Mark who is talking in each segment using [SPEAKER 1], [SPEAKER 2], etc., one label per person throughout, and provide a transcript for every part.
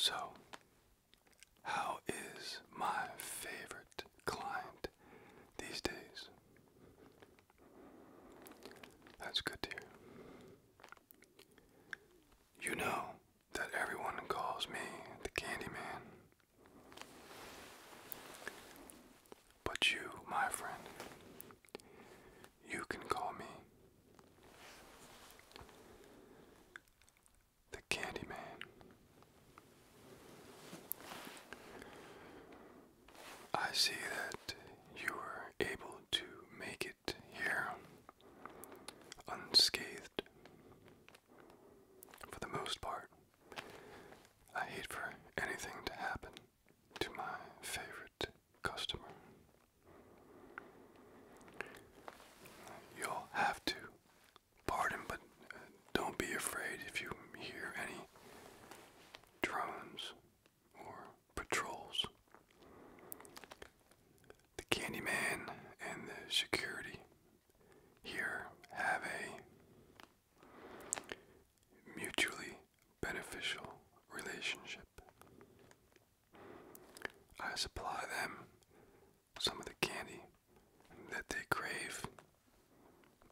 [SPEAKER 1] So, how is my favorite client these days? That's good to You know that everyone calls me the Candyman. But you, my friend, you can call me the Candyman. I see that you were able to make it here unscathed for the most part. I hate for anything to happen to my favorite customer. You'll have to pardon, but uh, don't be afraid if you hear any drones or patrols. The Candyman and the security here have a mutually beneficial relationship. I supply them some of the candy that they crave,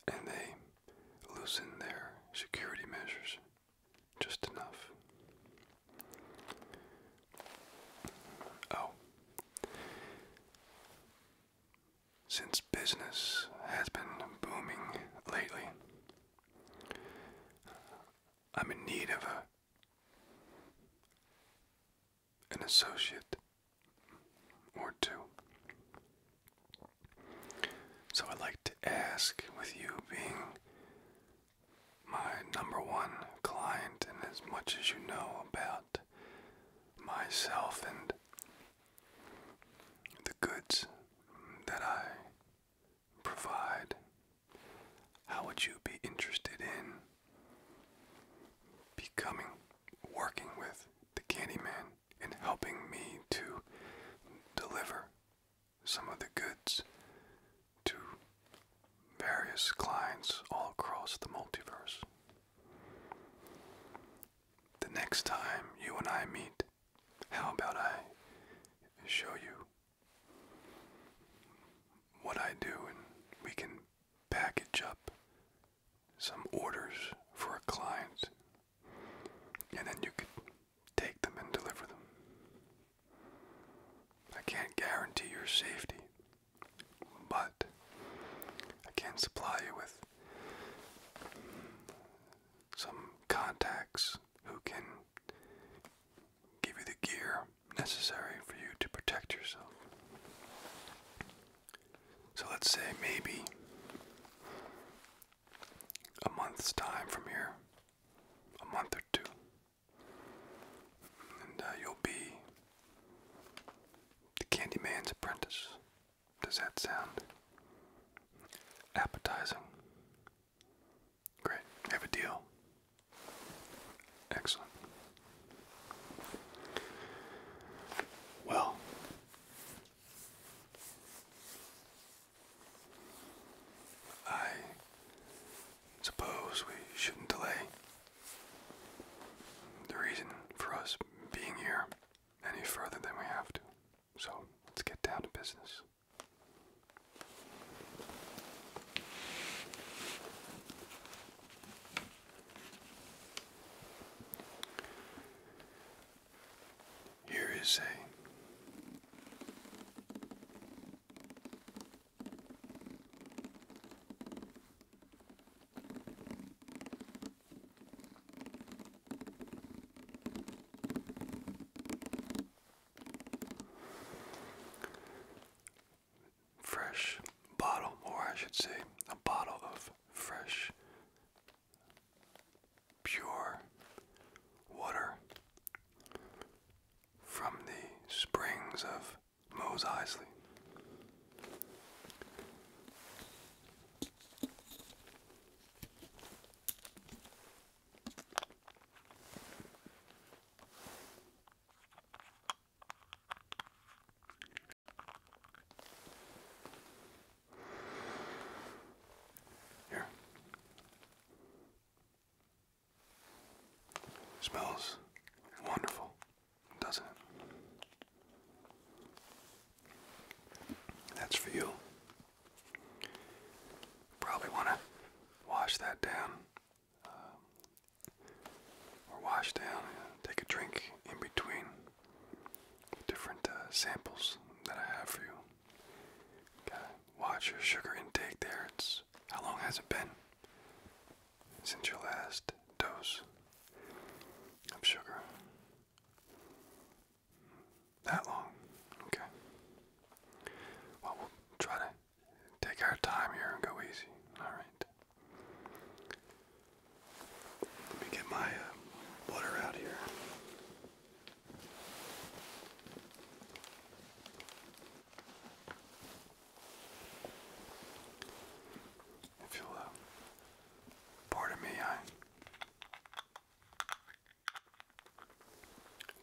[SPEAKER 1] and they loosen their security measures. Just enough. Oh. Since business has been booming lately, I'm in need of a an associate or two. So I'd like to ask, with you being my number one client, and as much as you know about myself and the goods that I provide, how would you be interested in becoming, working with the Candyman and helping me to deliver some of the goods to various clients all across the multiverse. The next time you and I meet, how about I show you what I do and we can package up some orders for a client and then you could take them and deliver them. I can't guarantee your safety, but I can supply you with some contacts who can give you the gear necessary for you to protect yourself. So let's say maybe a month's time from here, a month or two, and uh, you'll be the Candyman's apprentice. Does that sound appetizing? Great. I have a deal. Excellent. Well, I suppose we shouldn't delay the reason for us being here any further than we have to. So let's get down to business. Here is a Fresh bottle, or I should say, a bottle of fresh pure water from the springs of Mose Isley. Here. Smells wonderful, doesn't it? That's for you. Probably want to wash that down, uh, or wash down, take a drink in between different uh, samples that I have for you got watch your sugar intake there. It's how long has it been since your last dose of sugar? That long? Okay. Well, we'll try to take our time here and go easy. Alright. Let me get my uh, water out here. If you'll pardon me, I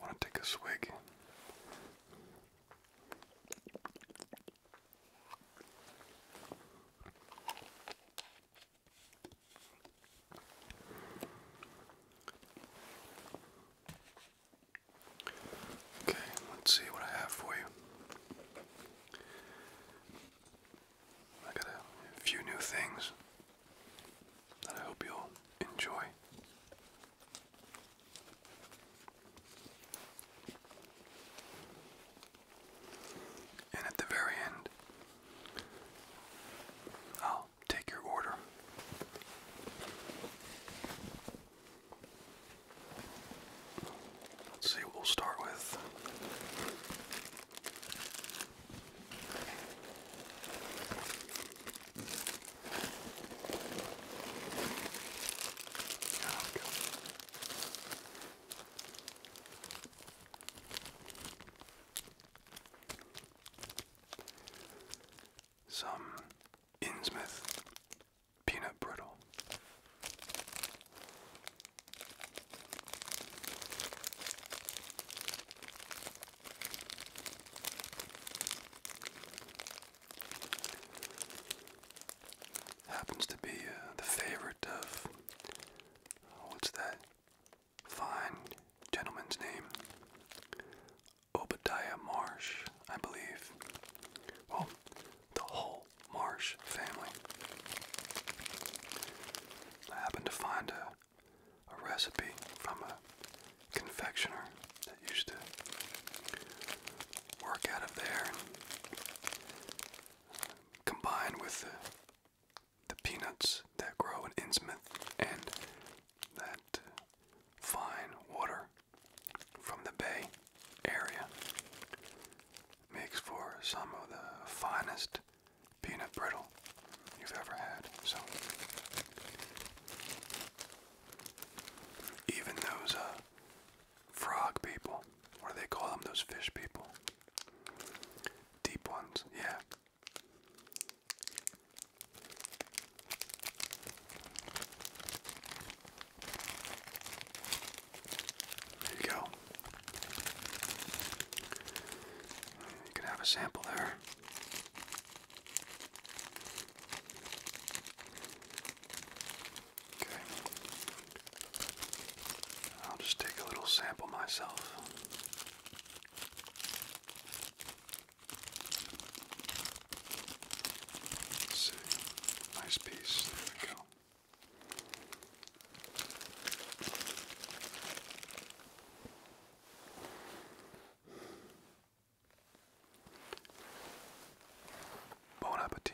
[SPEAKER 1] want to take a swig. Okay, let's see what I have for you. I got a few new things that I hope you'll enjoy. And at the very end, I'll take your order. Let's see what we'll start with some Innsmouth peanut brittle. Happens to be uh, the favorite of what's that fine gentleman's name? Obadiah Marsh, I believe. Well, the whole Marsh family. I happened to find a, a recipe from a confectioner that used to work out of there uh, combined with the, peanuts that grow in Innsmouth and that fine water from the bay area makes for some of the finest peanut brittle you've ever had. So even those uh, frog people, or they call them those fish people, deep ones, yeah, there you go. You can have a sample there. Okay. I'll just take a little sample myself. Let's see. Nice piece. There we go. Bon appetit.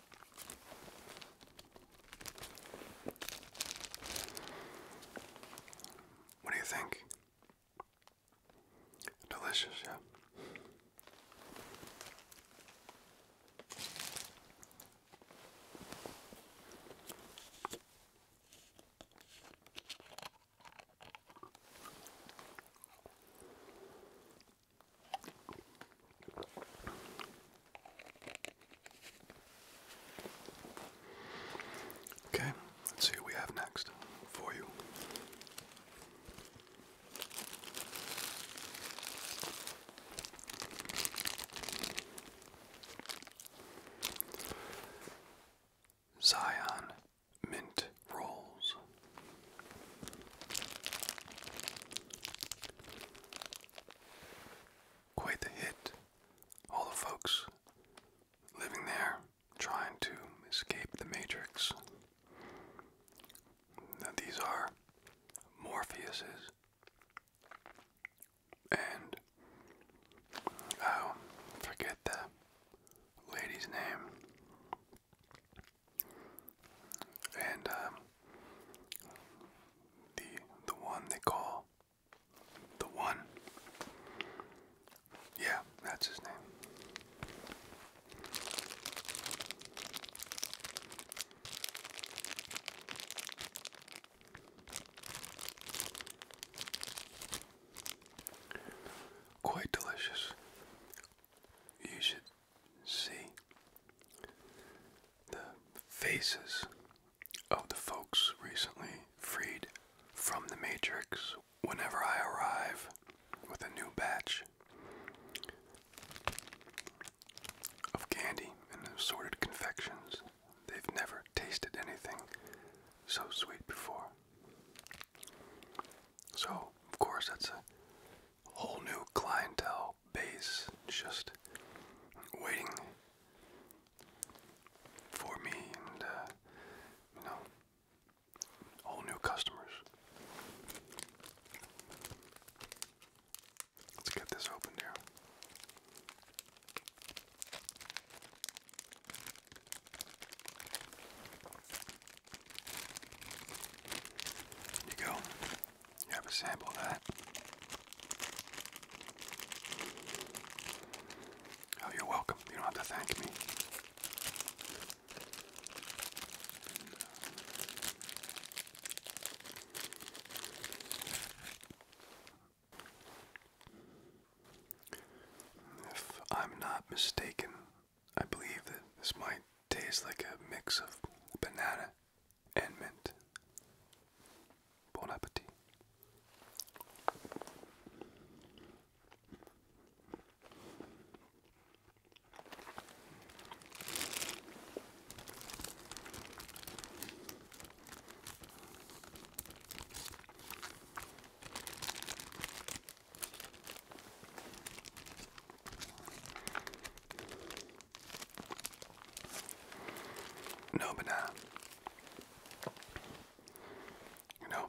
[SPEAKER 1] What do you think? Delicious, yeah. Okay, let's see what we have next for you. Zion Mint Rolls quite the hit. All the folks living there trying to escape the Matrix. these are Morpheuses. And, oh, forget the lady's name. And, um, the the one they call the one. Yeah, that's his name. Quite delicious. You should see the faces of the folks recently freed from the Matrix whenever I arrive with a new batch of candy and assorted confections. They've never tasted anything so sweet before. So, of course, that's a whole new clientele base just waiting for me and, uh, you know, all new customers. Let's get this opened here. you go. You have a sample of that. Oh, you're welcome. You don't have to thank me. If I'm not mistaken, I believe that this might taste like a mix of banana and mint. Bon appetit. No, but nah. You know,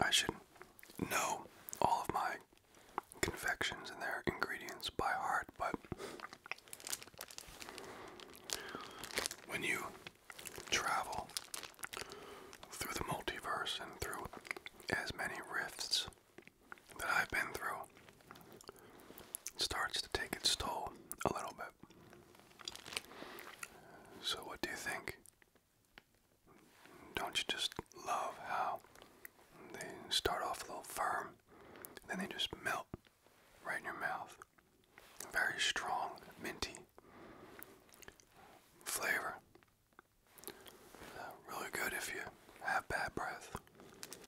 [SPEAKER 1] I should know all of my confections and their ingredients by heart, but when you travel through the multiverse and through as many rifts that I've been through starts to take its toll a little bit. So, what do you think? Don't you just love how they start off a little firm, then they just melt right in your mouth? Very strong, minty flavor. Uh, really good if you have bad breath.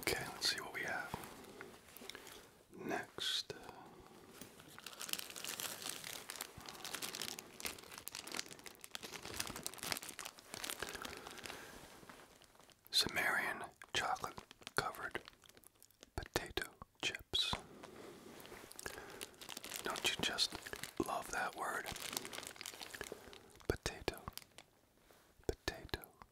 [SPEAKER 1] Okay, let's see what we have. Next. Sumerian chocolate covered potato chips. Don't you just love that word? Potato, potato,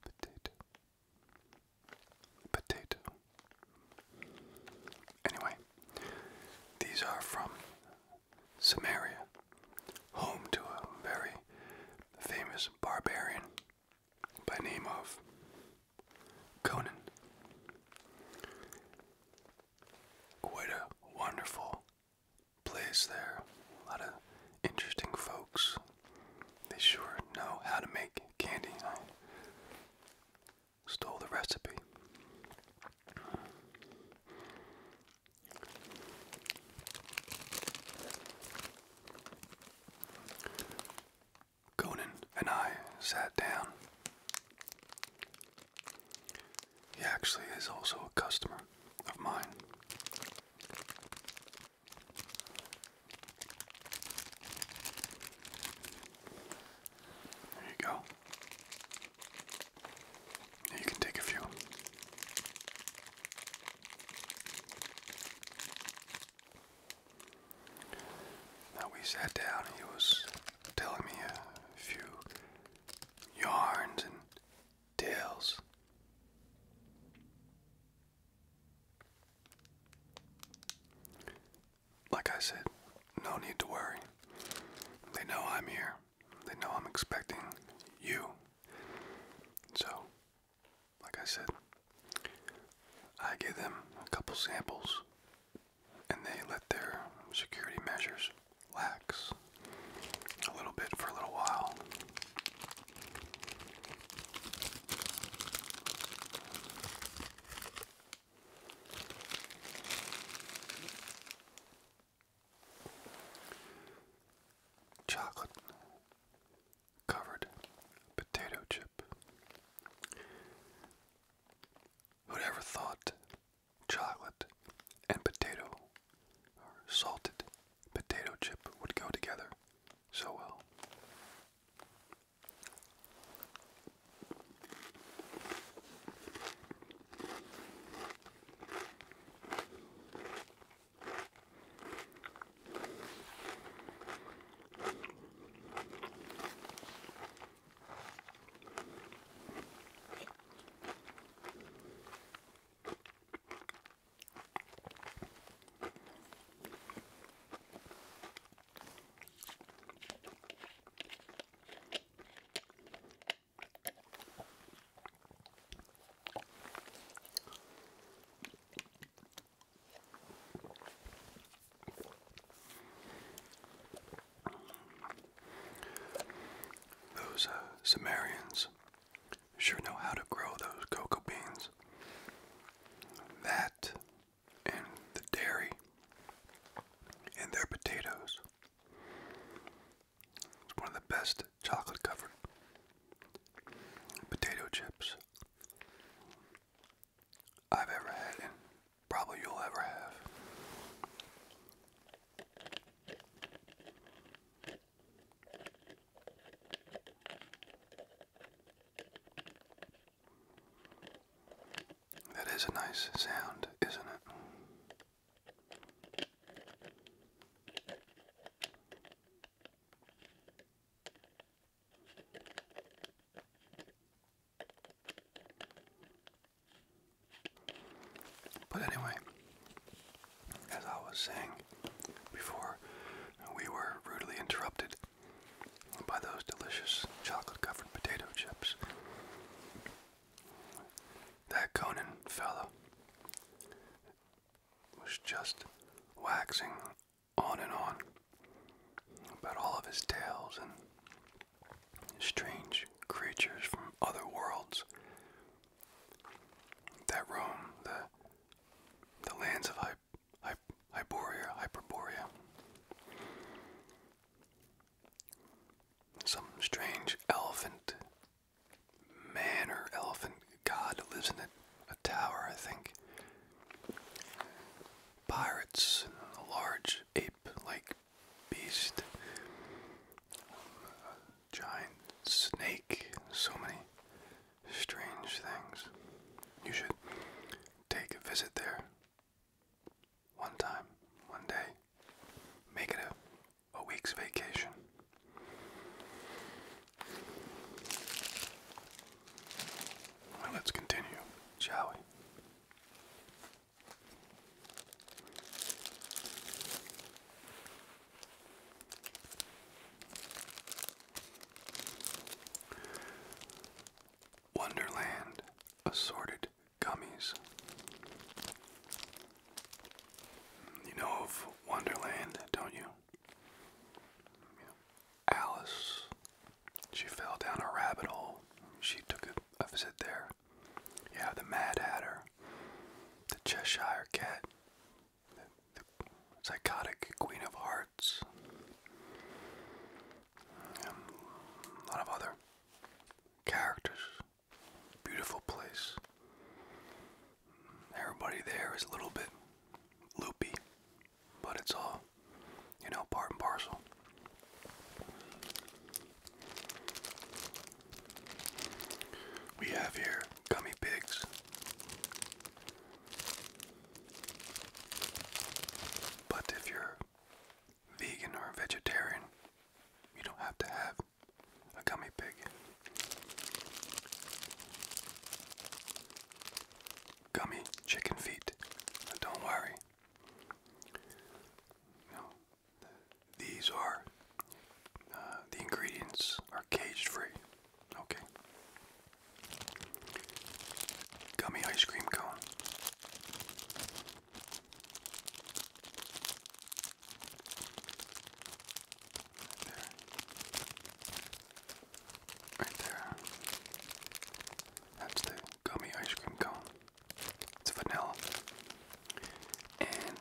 [SPEAKER 1] Potato. Potato. Anyway, these are from Samaria, home to a very famous barbarian by name of Conan. What a wonderful place there. A lot of interesting folks. They sure know how to make candy. I stole the recipe. Conan and I sat down. He actually is also a customer of mine. There you go. you can take a few. Now we sat down, and he was telling me a few yarns and Tails. Like I said, no need to worry. They know I'm here. They know I'm expecting you. So, like I said, I give them a couple samples and they let their security measures lax a little bit for a little while. Chocolate covered potato chip. Who'd ever thought chocolate and potato are salted potato chip would go together so well. Those uh, Sumerians sure know how to grow those cocoa beans. That and the dairy and their potatoes. It's one of the best chocolate covered potato chips I've ever had, and probably you'll ever have. That is a nice sound, isn't it? But anyway, as I was saying before, we were rudely interrupted by those delicious chocolate covered potato chips. That Conan fellow was just waxing on and on about all of his tales and strange creatures from other worlds that roam the the lands of Hy Hyperborea. Some strange elephant man or elephant god lives in a, tower, I think. Pirates, a large ape like beast giant snake, so many strange things. You should take a visit there one time, one day. Make it a, a week's vacation. let's continue, shall we? Wonderland Assorted Gummies. You know of Wonderland, don't you? Alice, she fell down a rabbit hole. She took a, visit there. Yeah, the Mad Hatter, the Cheshire Cat, the psychotic Queen of Hearts, and um, a lot of other characters. Beautiful place. Everybody there is a little bit loopy, but it's all, you know, part and parcel. We have here gummy pigs. But if you're vegan or vegetarian, you don't have to have a gummy pig. Gummy chicken feet. But don't worry. No, these are uh, the ingredients are cage free. Okay. Gummy ice cream cone. Right there. Right there. That's the gummy ice cream cone. It's vanilla. And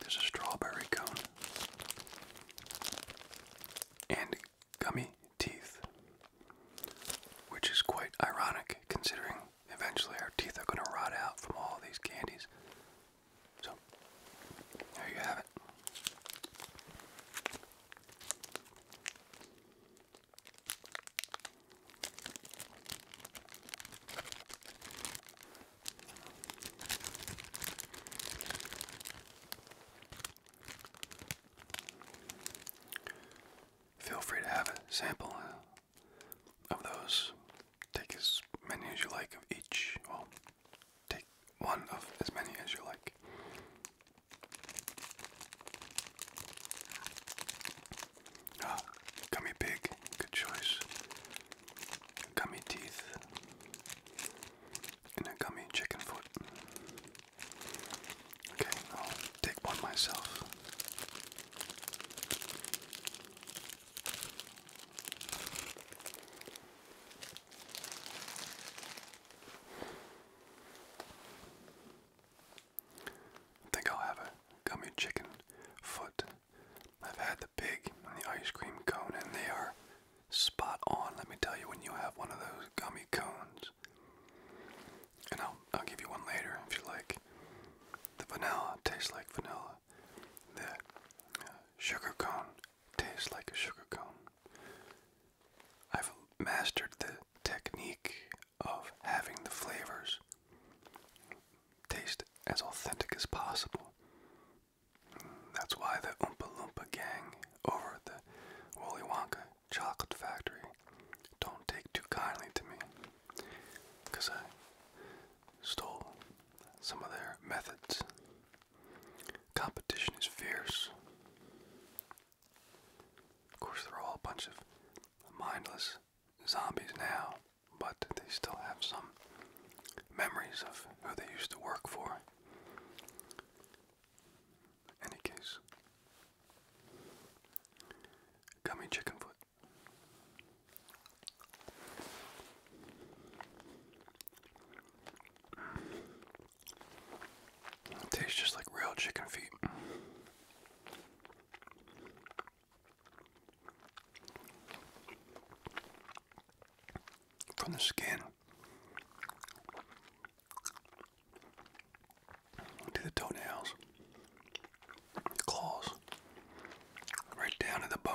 [SPEAKER 1] there's a strawberry cone and gummy teeth, which is quite ironic considering eventually our teeth are going to rot out from all these candies. So, there you have it. Feel free to have a sample uh, of those. Take as many as you like of each. Well, take one of as many as you like. Ah, gummy pig, good choice. Gummy teeth and a gummy chicken foot. Okay, I'll take one myself. I think I'll have a gummy chicken foot. I've had the pig and the ice cream cone, and they are spot on, let me tell you, when you have one of those gummy cones. And I'll, I'll give you one later if you like. The vanilla tastes like vanilla. The uh, sugar cone tastes like a sugar cone. I've mastered the technique of having the flavors taste as authentic as possible that's why the Oompa Loompa gang over the Willy Wonka chocolate factory don't take too kindly to me. Because I stole some of their methods. Competition is fierce. Of course, they're all a bunch of mindless zombies now, but they still have some memories of who they used to work for. Any case, gummy chicken foot. tastes just like real chicken feet from the skin to the toenails, claws, right down to the bone.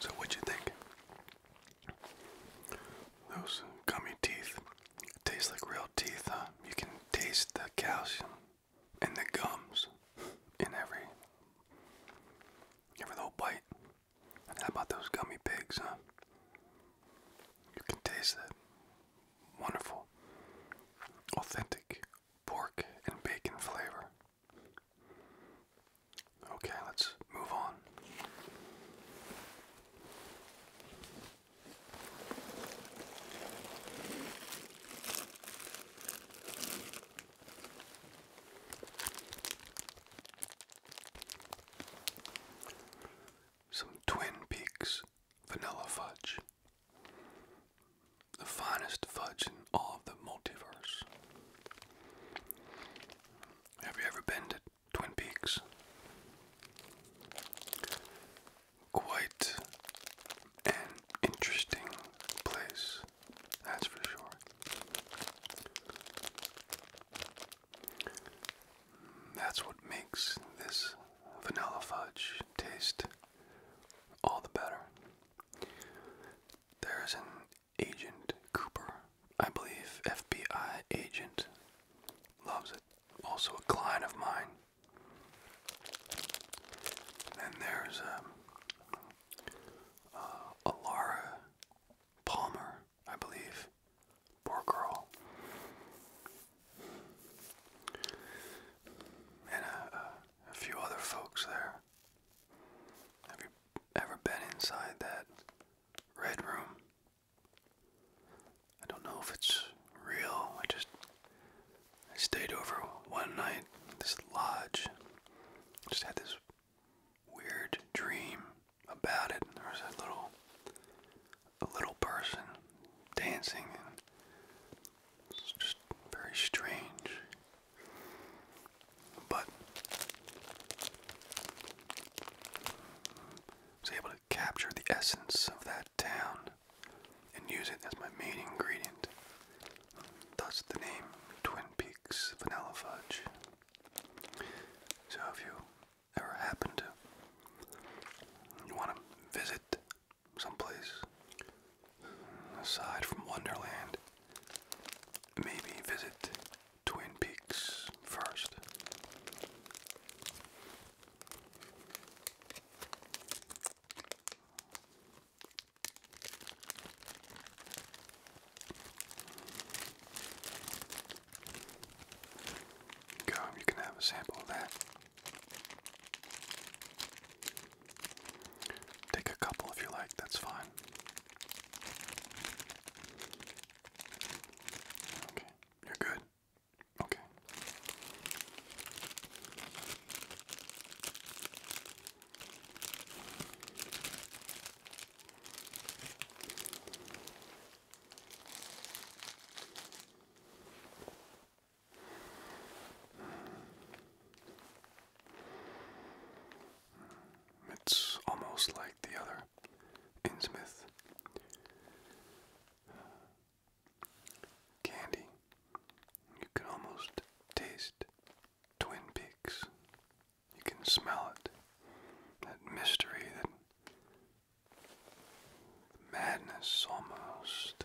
[SPEAKER 1] So, what you think? Those gummy teeth taste like real teeth, huh? You can taste the calcium and the gums in every every little bite. how about those gummy pigs, huh? You can taste that wonderful, authentic pork and bacon flavor. Okay, let's move on. Some Twin Peaks vanilla fudge. The finest fudge in all the multiverse. Have you ever been to Twin Peaks? Quite an interesting place. That's for sure. That's what makes this vanilla fudge taste all the better. There's an agent, Cooper, I believe, FBI agent, loves it. Also, a client of mine. Then there's um, uh, Alara Palmer, I believe. Poor girl. And uh, uh, a few other folks there. Have you ever been inside that red room? I don't know if it's real. I just I stayed over one night in this lodge. Just had this weird dream about it. And there was a little a little person dancing and it's just very strange. But I was able to capture the essence of that town and use it as my main ingredient that's the name Twin Peaks Vanilla Fudge. So if you ever happen to you want to visit someplace aside from Wonderland, maybe visit Twin Peaks first. Come, you can have a sample of that. Take a couple if you like, that's fine. Okay, you're good. Okay. It's almost like the other Innsmouth candy. You can almost taste Twin Peaks. You can smell it. That mystery, that madness almost.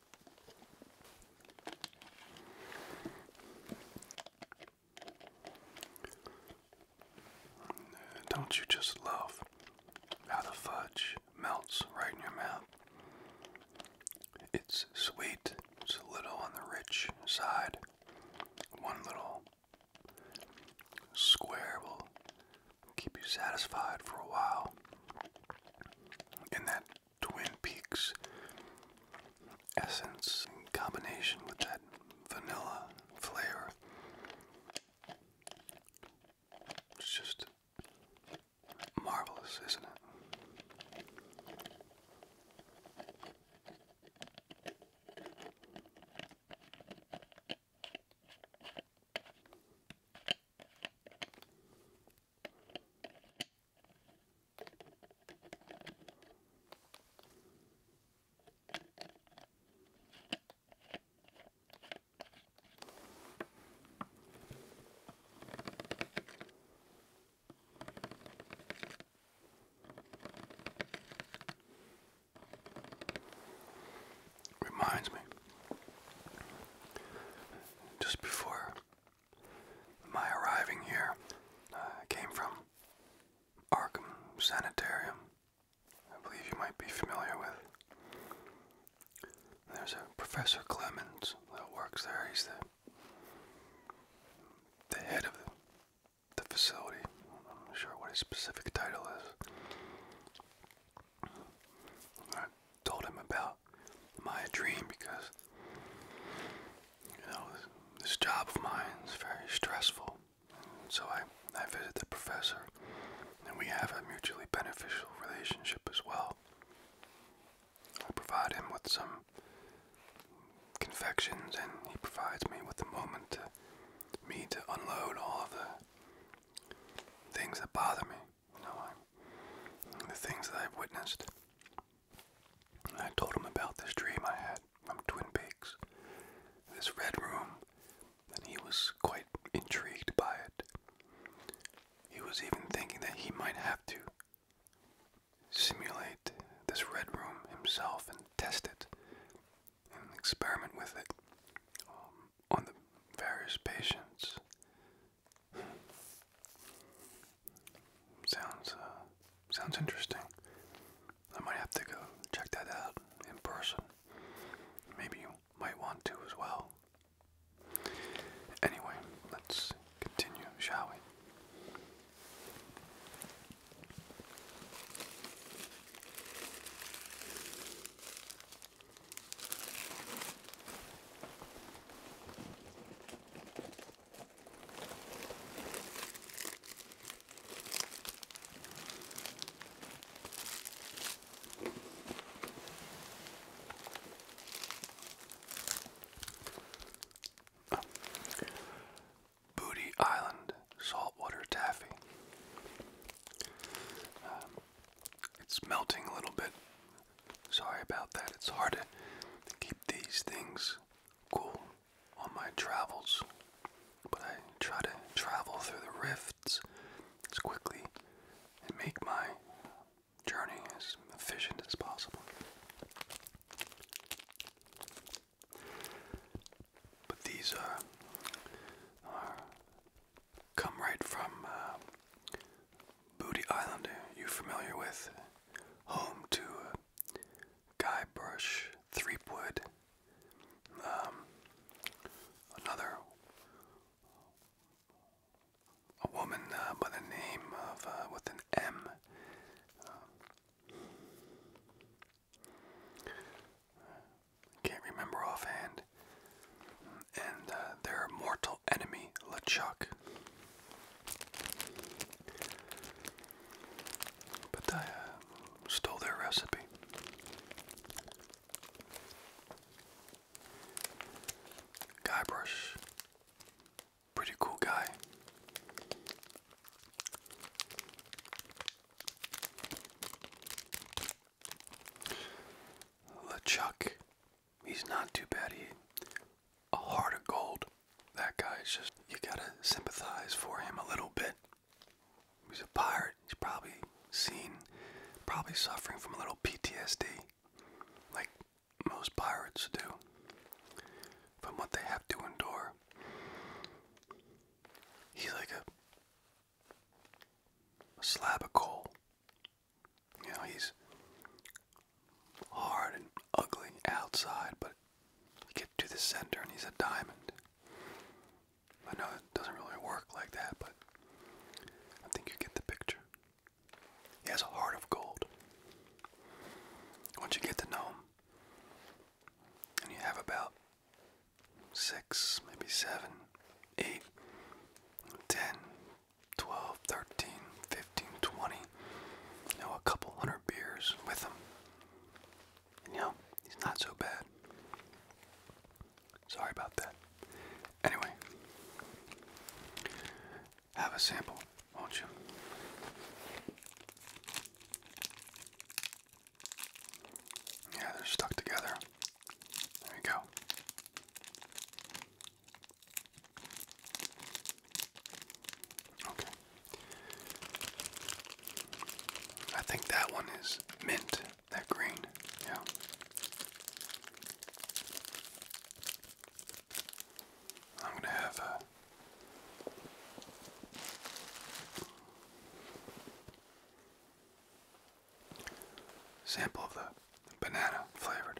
[SPEAKER 1] Don't you just love how the fudge melts right in your mouth? It's sweet, it's a little on the rich side. One little square will keep you satisfied for a while. And that Twin Peaks essence in combination with that vanilla flavor. It's just marvelous, isn't it? Reminds me, just before my arriving here uh, came from Arkham Sanitarium. I believe you might be familiar with. There's a Professor Clemens that works there. He's the, the head of the facility. I'm not sure what his specific title is told him about my dream because you know this job of mine is very stressful. So I I visit the professor, and we have a mutually beneficial relationship as well. I provide him with some confections, and he provides me with a moment me to unload all the things that bother me you the things that I've witnessed. I told him about this dream I had from Twin Peaks, this red room, and he was quite intrigued by it. He was even thinking that he might have to simulate this red room himself and test it and experiment with it um, on the various patients Sounds uh, sounds interesting. I might have to go check that out in person. Maybe you might want to as well. Anyway, let's continue, shall we? Booty Island saltwater taffy. Um, it's melting a little bit. Sorry about that. It's hard to, keep these things cool on my travels, but I try to travel through the rifts as quickly and make my journey as efficient as possible. But these uh, are, come right from uh, Booty Island, you familiar with? Home to Guybrush Threepwood, um, another a woman uh, by the name of uh, with an M. Um, can't remember offhand and uh, their mortal enemy, LeChuck. But I uh, stole their recipe. Guybrush. Pretty cool guy. LeChuck he's not too bad. He a heart of gold. That guy's just you gotta sympathize for him a little bit. He's a pirate. He's probably seen, probably suffering from a little PTSD, like most pirates do, from what they have to endure. He's like a slab of coal. You know, he's hard and ugly outside, but get to the center and he's a diamond. I know it doesn't really work like that, but I think you get the picture. He has a heart of gold. Once you get to know him, and you have about six, maybe seven, eight, ten, 12, 13, 15, 20, you know, a couple hundred beers with him. you know, he's not so bad. Sorry about that. Anyway, have a sample, won't you? Yeah, they're stuck together. There you go. Okay. I think that one is mint, that green. Yeah. I'm going to have a sample of the banana flavored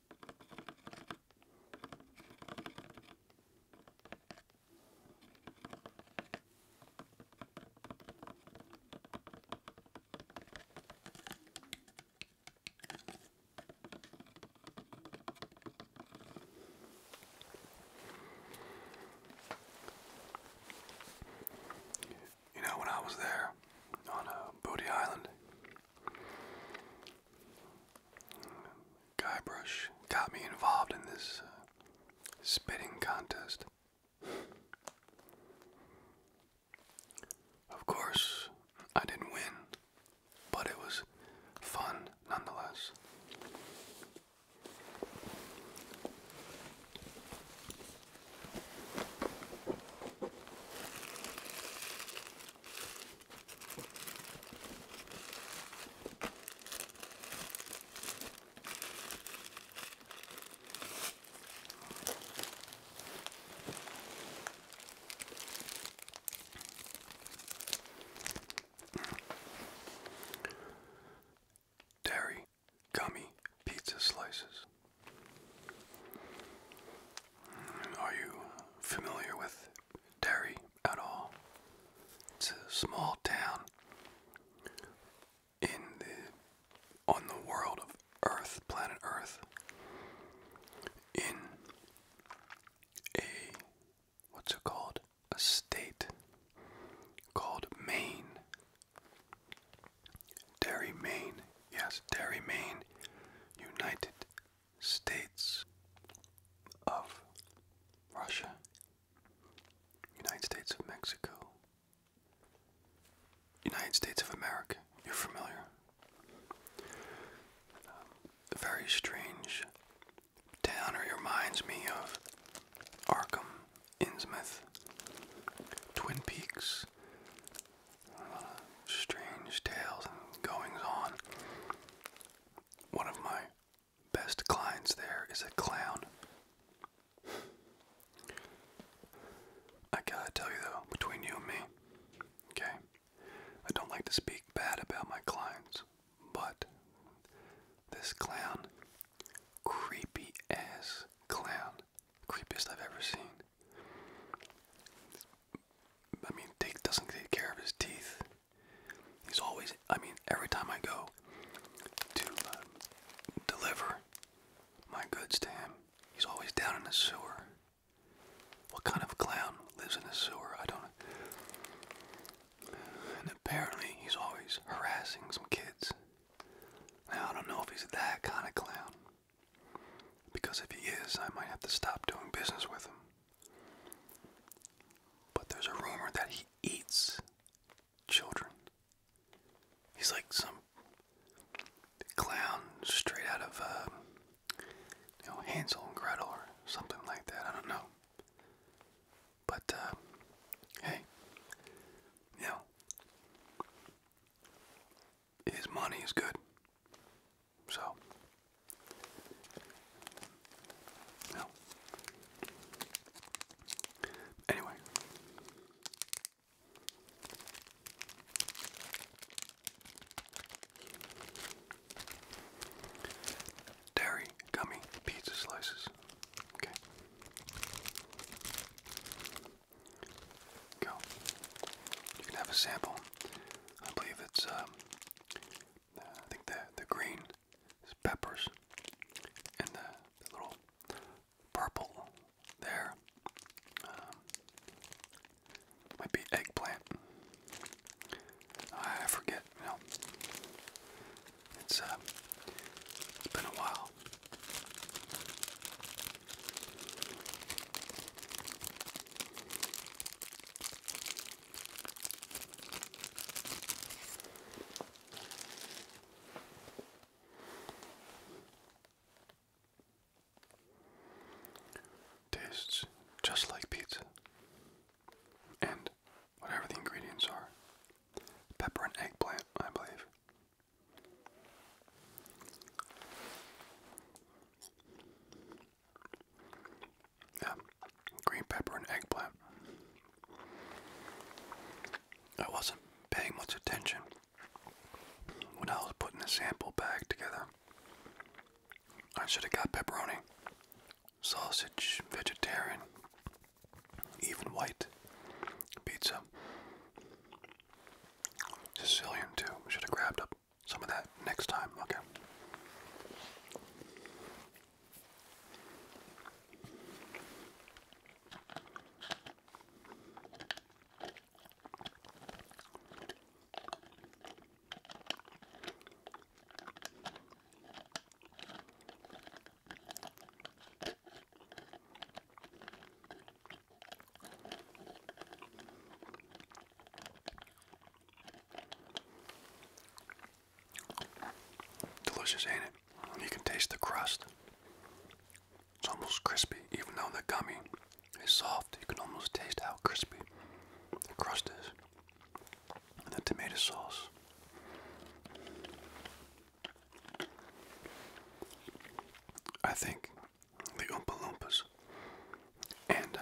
[SPEAKER 1] You know, when I was there on uh, Booty Island, Guybrush got me involved in this uh, spitting contest. Of course, I didn't win, but it was fun nonetheless. Dairy gummy pizza slices. Are you familiar with Derry, at all. It's a small town in the on the world of Earth, planet Earth. In a what's it called? A state called Maine. Derry, Maine. Yes, Derry, Maine, United States of Russia, United States of Mexico, United States of America. You're familiar. Um, a very strange town. It reminds me of Arkham, Innsmouth, Twin Peaks. Uh, strange tales and goings on. One of my best clients there is a clown. I gotta tell you though, between you and me, okay? I don't like to speak bad about my clients, but this clown, creepy ass clown, creepiest I've ever seen. I mean, Dave doesn't take care of his teeth. He's always. I mean, every time I go to uh, deliver my goods to him, he's always down in the sewer. What kind of clown lives in the sewer? I don't. And apparently, he's always harassing some kids. Now I don't know if he's that kind of clown. Because if he is, I might have to stop doing business with him. But there's a rumor that he eats children. He's like some clown straight out of, uh, you know, Hansel and Gretel or something like that. I don't know. But, uh, hey, you know, his money is good. So, no. Anyway. Dairy gummy pizza slices. Okay. Go. You can have a sample. I believe it's um, I think the the green is peppers, and the, little purple there um, might be eggplant. I forget. it's uh, it's been a while. Tastes just like pizza. And whatever the ingredients are pepper and eggplant, I believe. Yeah, green pepper and eggplant. I wasn't paying much attention when I was putting the sample bag together. I should have got pepperoni, sausage, vegetarian, even white pizza. Sicilian too. Should have grabbed a some of that next time, okay? Delicious, ain't it? You can taste the crust. It's almost crispy, even though the gummy is soft. You can almost taste how crispy the crust is. And the tomato sauce. I think the Oompa and uh,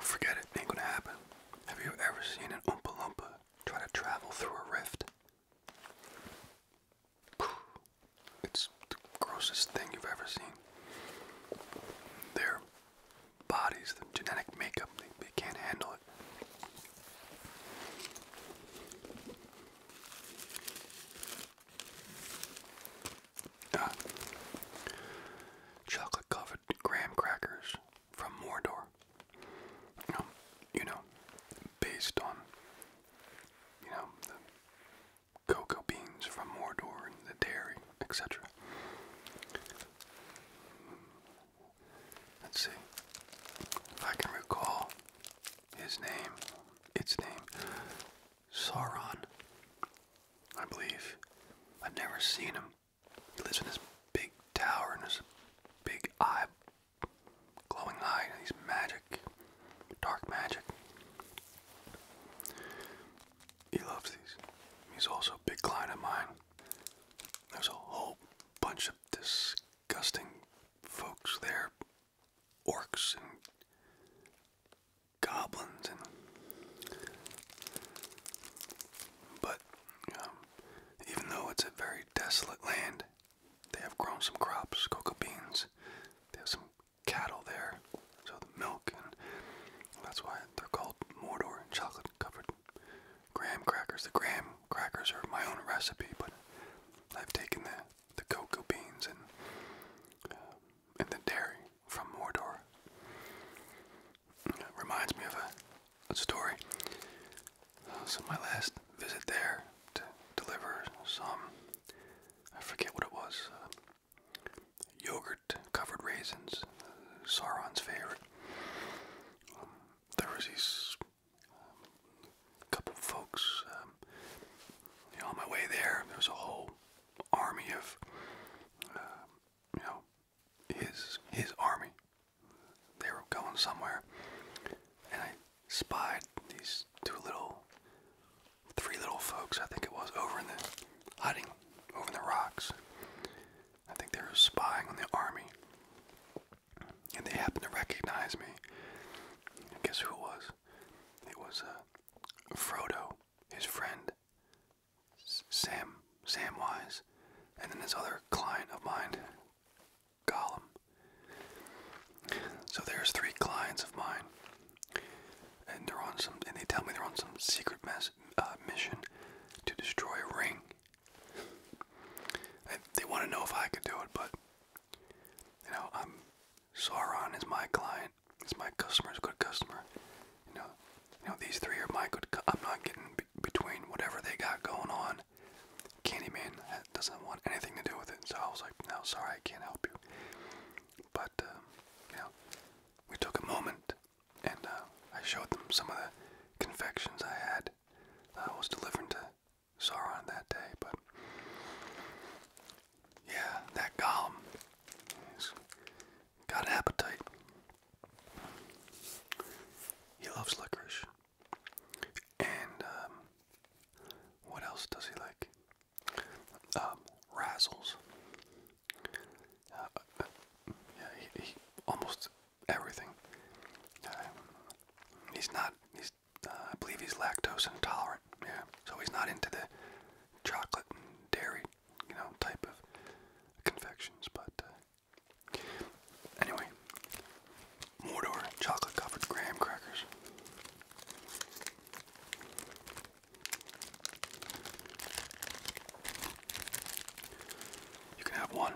[SPEAKER 1] Forget it, ain't gonna happen. Have you ever seen an Oompa Loompa try to travel through a rift? It's the grossest thing you've ever seen. Their bodies, the genetic makeup, they can't handle it chocolate covered graham crackers from Mordor. Um, you know, based on, you know, the cocoa beans from Mordor and the dairy, etc. Let's see if I can recall his name, its name. Sauron. I believe. I've never seen him. He lives in this big tower and this big eye, glowing eye, and he's magic, dark magic. He loves these. He's also a big client of mine. There's a whole bunch of disgusting folks there, orcs and goblins and but um, even though it's a very desolate land, they have grown some crops, cocoa beans. They have some cattle there, so the milk, and that's why they're called Mordor and chocolate-covered graham crackers. The graham crackers are my own recipe, but I've taken the the cocoa beans and um, in the dairy from Mordor. reminds me of a, story. Uh, so my last visit there to deliver some, I forget what it was, uh, yogurt covered raisins, uh, Sauron's favorite. Um, there was these um, couple folks. Um, on my way there, there was a whole army of, um, you know, his his army. They were going somewhere, and I spied these two little, three little folks. I think it was over in the hiding, over in the rocks. I think they were spying on the army, and they happened to recognize me. And guess who it was? It was uh, Frodo, his friend, Sam Samwise, and then this other client of mine, Gollum. So there's three clients of mine, and they're on some, and they tell me they're on some secret uh, mission to destroy a ring. they want to know if I could do it, but you know, I'm Sauron is my client, it's my customer's good customer. You know, you know these three are my good. I'm not getting between whatever they got going on. Candyman doesn't want anything to do with it. So I was like, no, sorry, I can't help you. But uh, you know, we took a moment, and uh, I showed them some of the confections I had. Uh, I was delivering to Sauron that day, but yeah, that Gollum. Got appetite. He loves licorice. And um, what else does he like? Um, razzles. Uh, yeah, he, almost everything. Uh, he's not. He's. Uh, I believe he's lactose intolerant. Yeah, so he's not into the chocolate and dairy you know, type of confections, but uh, anyway, Mordor chocolate covered graham crackers. You can have one.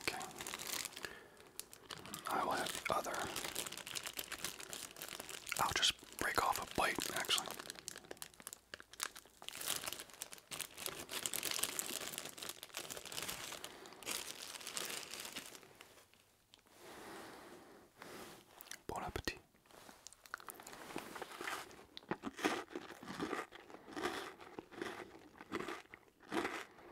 [SPEAKER 1] Okay. I will have the other. I'll just break off a bite, actually. Bon appetit.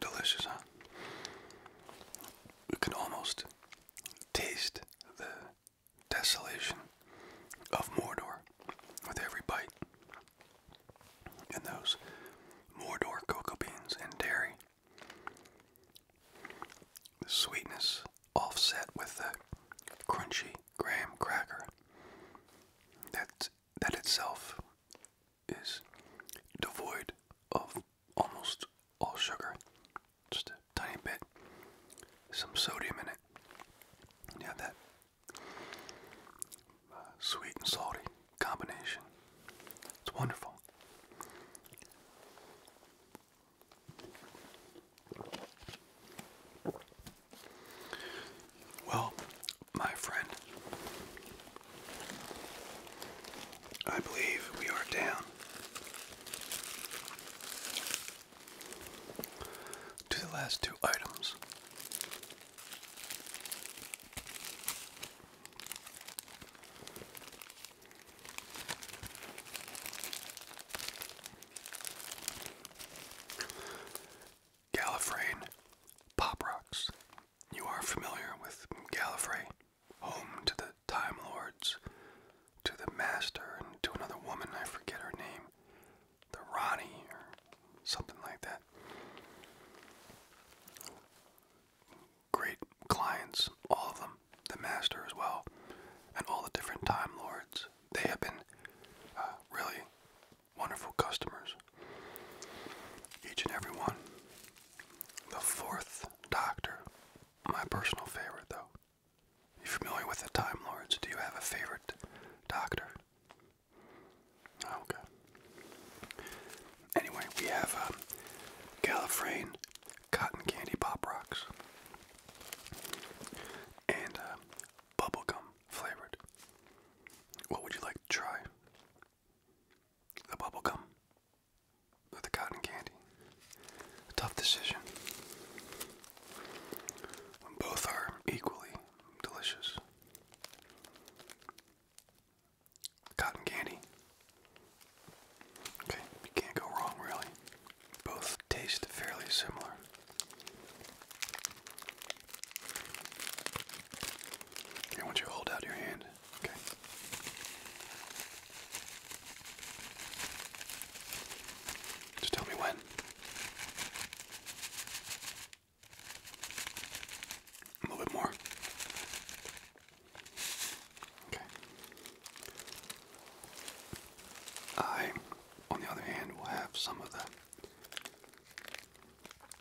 [SPEAKER 1] Delicious, huh? You can almost taste the desolation of Mordor with every bite. And those Mordor cocoa beans and dairy. The sweetness offset with the crunchy graham cracker. That that itself is devoid of almost all sugar, just a tiny bit, some sodium in it. You that uh, sweet and salty combination. It's wonderful. Well, my friend, I believe we are down to the last two items. Gallifrey, pop rocks. You are familiar with Gallifrey, home to the Time Lords, to the Master, and to another woman, I forget her name, the Ronnie, or something like that. Great clients, all of them, the Master as well, and all the different Time Lords. They have been uh, really wonderful customers. Each and every one. The fourth Doctor, my personal favorite though. You familiar with the Time Lords? Do you have a favorite Doctor? Oh, okay. Anyway, we have um, Gallifreyan Cotton Candy Pop Rocks and uh, bubblegum flavored. What would you like to try? The bubble gum or the cotton candy. A tough decision. When both are equally delicious. Cotton candy. Okay, you can't go wrong really. Both taste fairly similar. I want you to hold out your hand. Okay. Just tell me when. A little bit more. Okay. I, on the other hand, will have some of the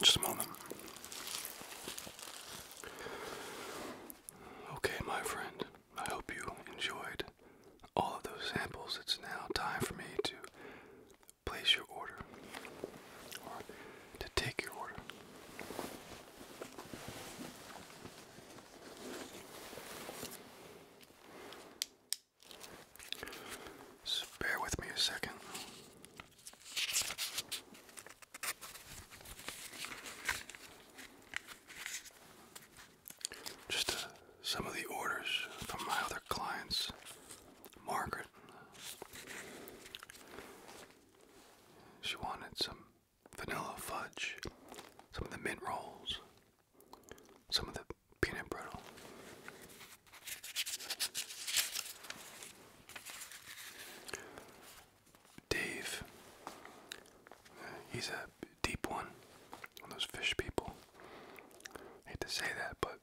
[SPEAKER 1] Just a moment. Okay, my friend, I hope you enjoyed all of those samples. It's now time for me to place your order or to take your order. So bear with me a second. Just uh, some of the orders from my other clients Margaret. She wanted some vanilla fudge, some of the mint rolls, some of the peanut brittle. Dave, he's a deep one, one of those fish people. I hate to say that, but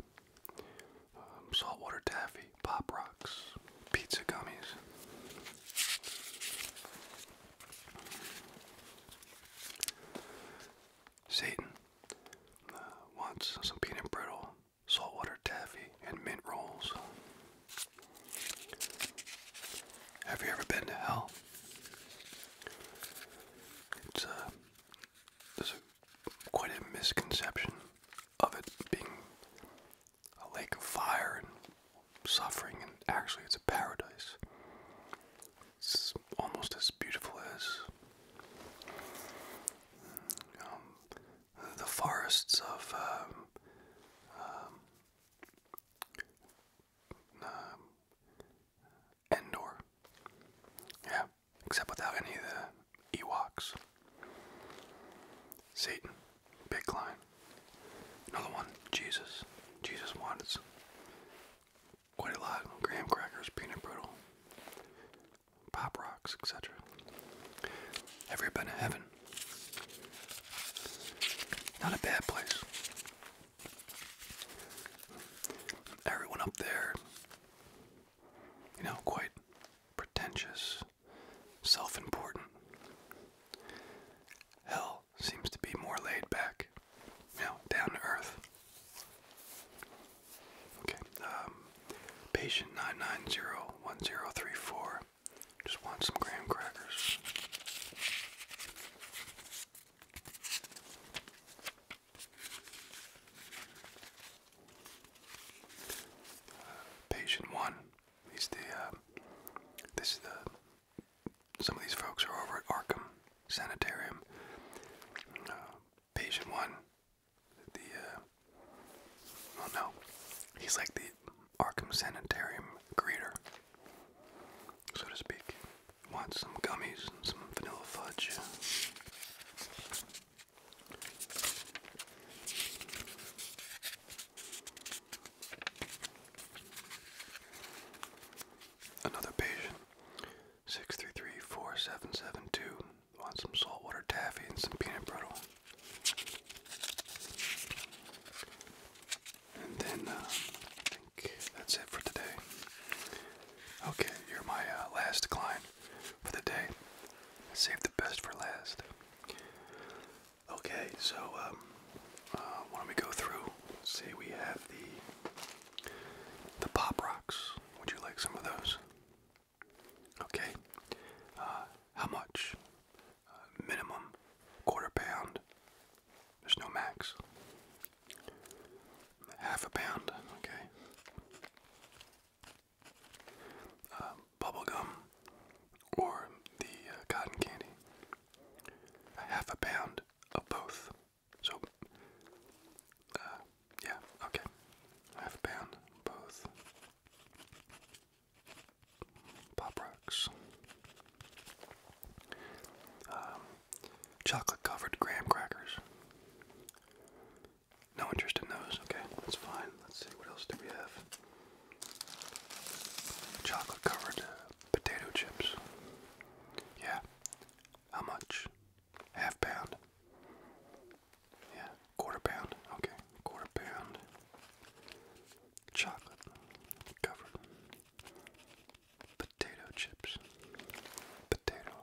[SPEAKER 1] um, saltwater taffy, pop rocks, pizza gummies. Satan uh, wants some peanut brittle, saltwater taffy, and mint rolls. Have you ever been to hell? It's uh, there's quite a misconception of it being a lake of fire and suffering, and actually, it's a paradise. It's almost as beautiful as um, the forests of um, um, Endor. Yeah, except without any of the Ewoks. Satan, big line. Another one, Jesus. Jesus wanted quite a lot: graham crackers, peanut brittle, pop rocks, etc. Have you ever heaven? Not a bad place. Everyone up there you know, quite pretentious, self important. Hell seems to be more laid back, you know, down to earth. Okay, um, patient 9901034 just wants some graham crackers. Patient one. He's the. Uh, this is the. Some of these folks are over at Arkham Sanitarium. Uh, patient one. The. Uh, oh no, he's like the Arkham Sanitarium greeter, so to speak. Want some gummies and some vanilla fudge. Another patient, 6334772, wants some saltwater taffy and some peanut brittle. And then uh, I think that's it for today. Okay, you're my uh, last client for the day. Save the best for last. Okay, so um, uh, why don't we go through? Say we have the the pop rocks. Would you like some of those? Okay. Uh, how much? Uh, minimum quarter pound. There's no max. Half a pound. Okay. Uh, bubble gum or the uh, cotton candy. half a pound of both. So, uh, yeah, okay. Half a pound both. Pop rocks. Um, chocolate covered graham crackers. No interest in those. Okay, that's fine. Let's see, what else do we have? Chocolate covered uh, potato chips. Yeah. How much? Half pound. Yeah, quarter pound. Okay, quarter pound. Chocolate covered potato chips. Potato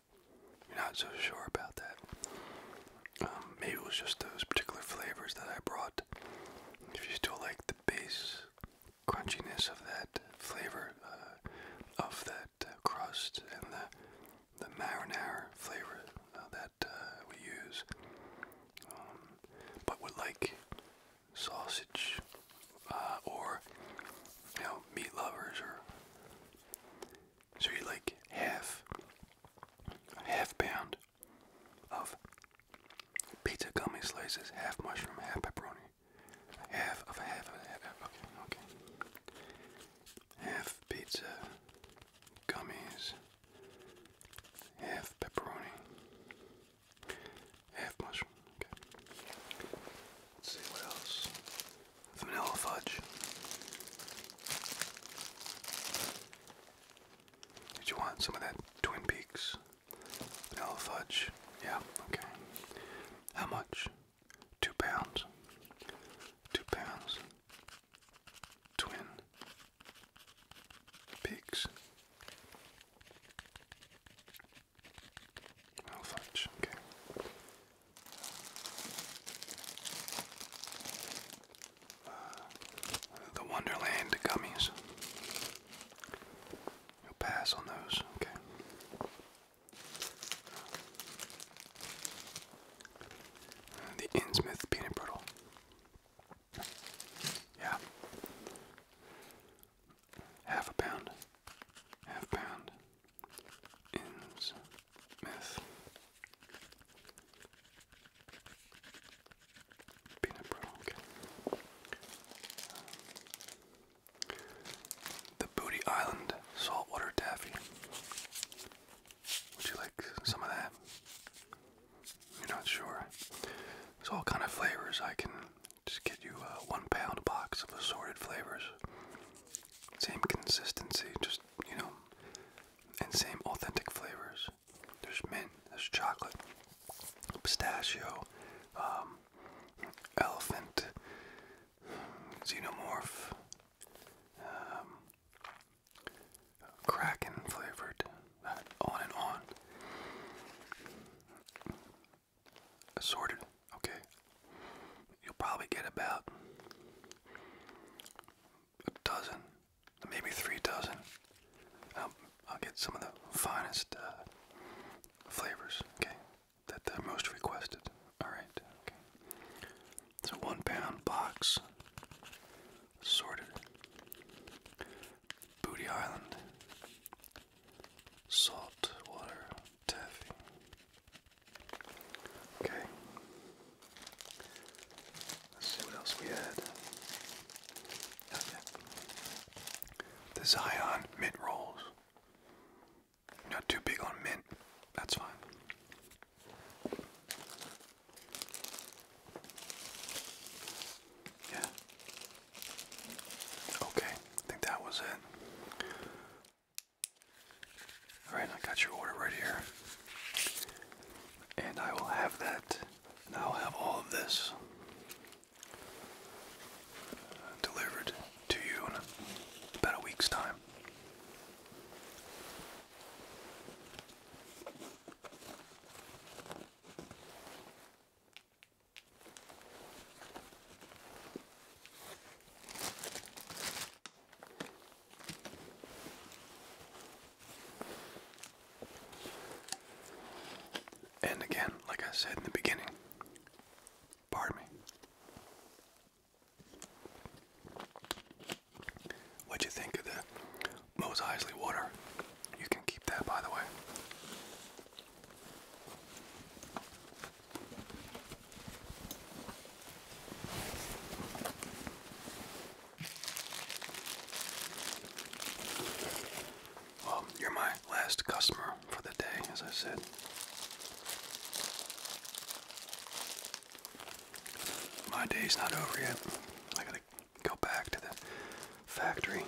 [SPEAKER 1] You're not so sure about that. Um, maybe it was just those particular flavors that I brought. If you still like the base crunchiness of that flavor, uh, of that uh, crust, and the, the marinara flavor uh, that we use, um, but we like sausage uh, or you know meat lovers, or so you like half half pound of pizza gummy slices, half mushroom, half pepperoni, half of a half of a half. Okay, okay. Half pizza gummies, half pepperoni, half mushroom. Okay. Let's see what else. Vanilla fudge. Did you want some of that Twin Peaks? Vanilla fudge? Yeah, okay. How much? Two pounds. Two pounds. Twin Peaks. Oh, fudge, okay. Uh, the Wonderland gummies. You'll pass on those, okay. Uh, the Innsmouth peanut brittle. Yeah. Half a pound. Half pound ends with peanut brittle. Um, the Booty Island saltwater taffy. Would you like some of that? You're not sure. There's all kind of flavors. I can just get you a uh, one pound box of assorted flavors. Same consistency, just, you know, and same authentic flavors. There's mint, there's chocolate, pistachio, um, elephant, xenomorph, um, kraken flavored, uh, on and on. Assorted, okay. You'll probably get about a dozen, maybe three dozen. I'll get some of the finest uh, flavors, okay, that they're most requested. All right, okay. It's a one pound box, assorted. Booty Island, salt water, taffy, Okay. Let's see what else we had. Nothing. The Zion mint rolls. Not too big on mint. That's fine. Yeah. Okay. I think that was it. Alright, I got your order right here. And I will have that. And I'll have all of this uh, delivered to you in about a week's time. And again, like I said in the beginning, pardon me. What'd you think of the Mose Isley water? You can keep that, by the way. Well, um, you're my last customer for the day, as I said. My day's not over yet. I gotta go back to the factory.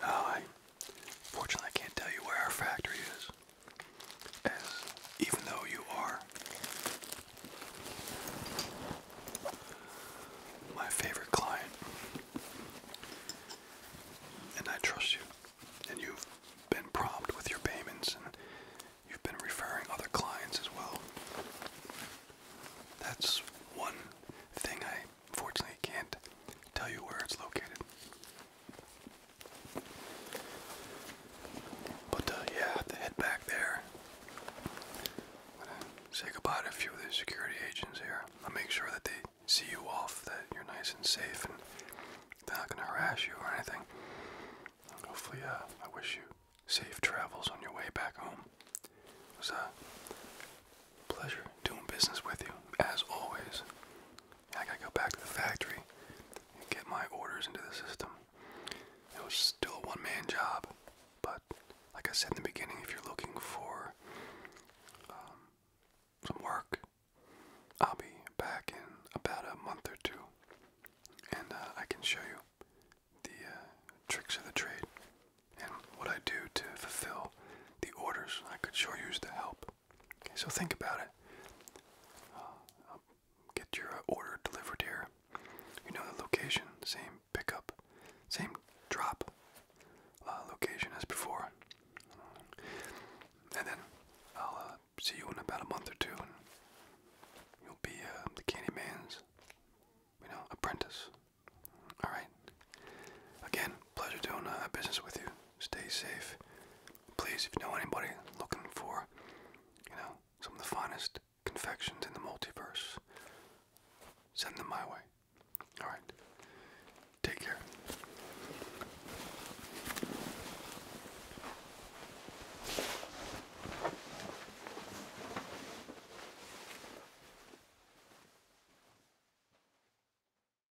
[SPEAKER 1] No, I I can't tell you where our factory is. As even though you are my favorite client. And I trust you. And you've been prompt with your payments and you've been referring other clients as well. That's one thing I Unfortunately, I can't tell you where it's located. But uh, yeah, have to head back there. say goodbye to a few of the security agents here. I'll make sure that they see you off, that you're nice and safe, and they're not gonna harass you or anything. hopefully, uh, I wish you safe travels on your way back home. It was a pleasure doing business with you, as always. I gotta go back to the factory and get my orders into the system. It was still a one man job, but like I said in the beginning, if you're looking for um, some work, I'll be back in about a month or two and uh, I can show you the uh, tricks of the trade and what I do to fulfill the orders. I could sure use the help. Okay, so think about it. Uh, I'll get your uh, order delivered here. You know the location, same pickup, same drop uh, location as before. And then I'll see you in about a month or two, you'll be the Candyman's, you know, apprentice. All right. Again, pleasure doing business with you stay safe. Please, if you know anybody looking for, you know, some of the finest confections in the multiverse, send them my way. All right. Take care.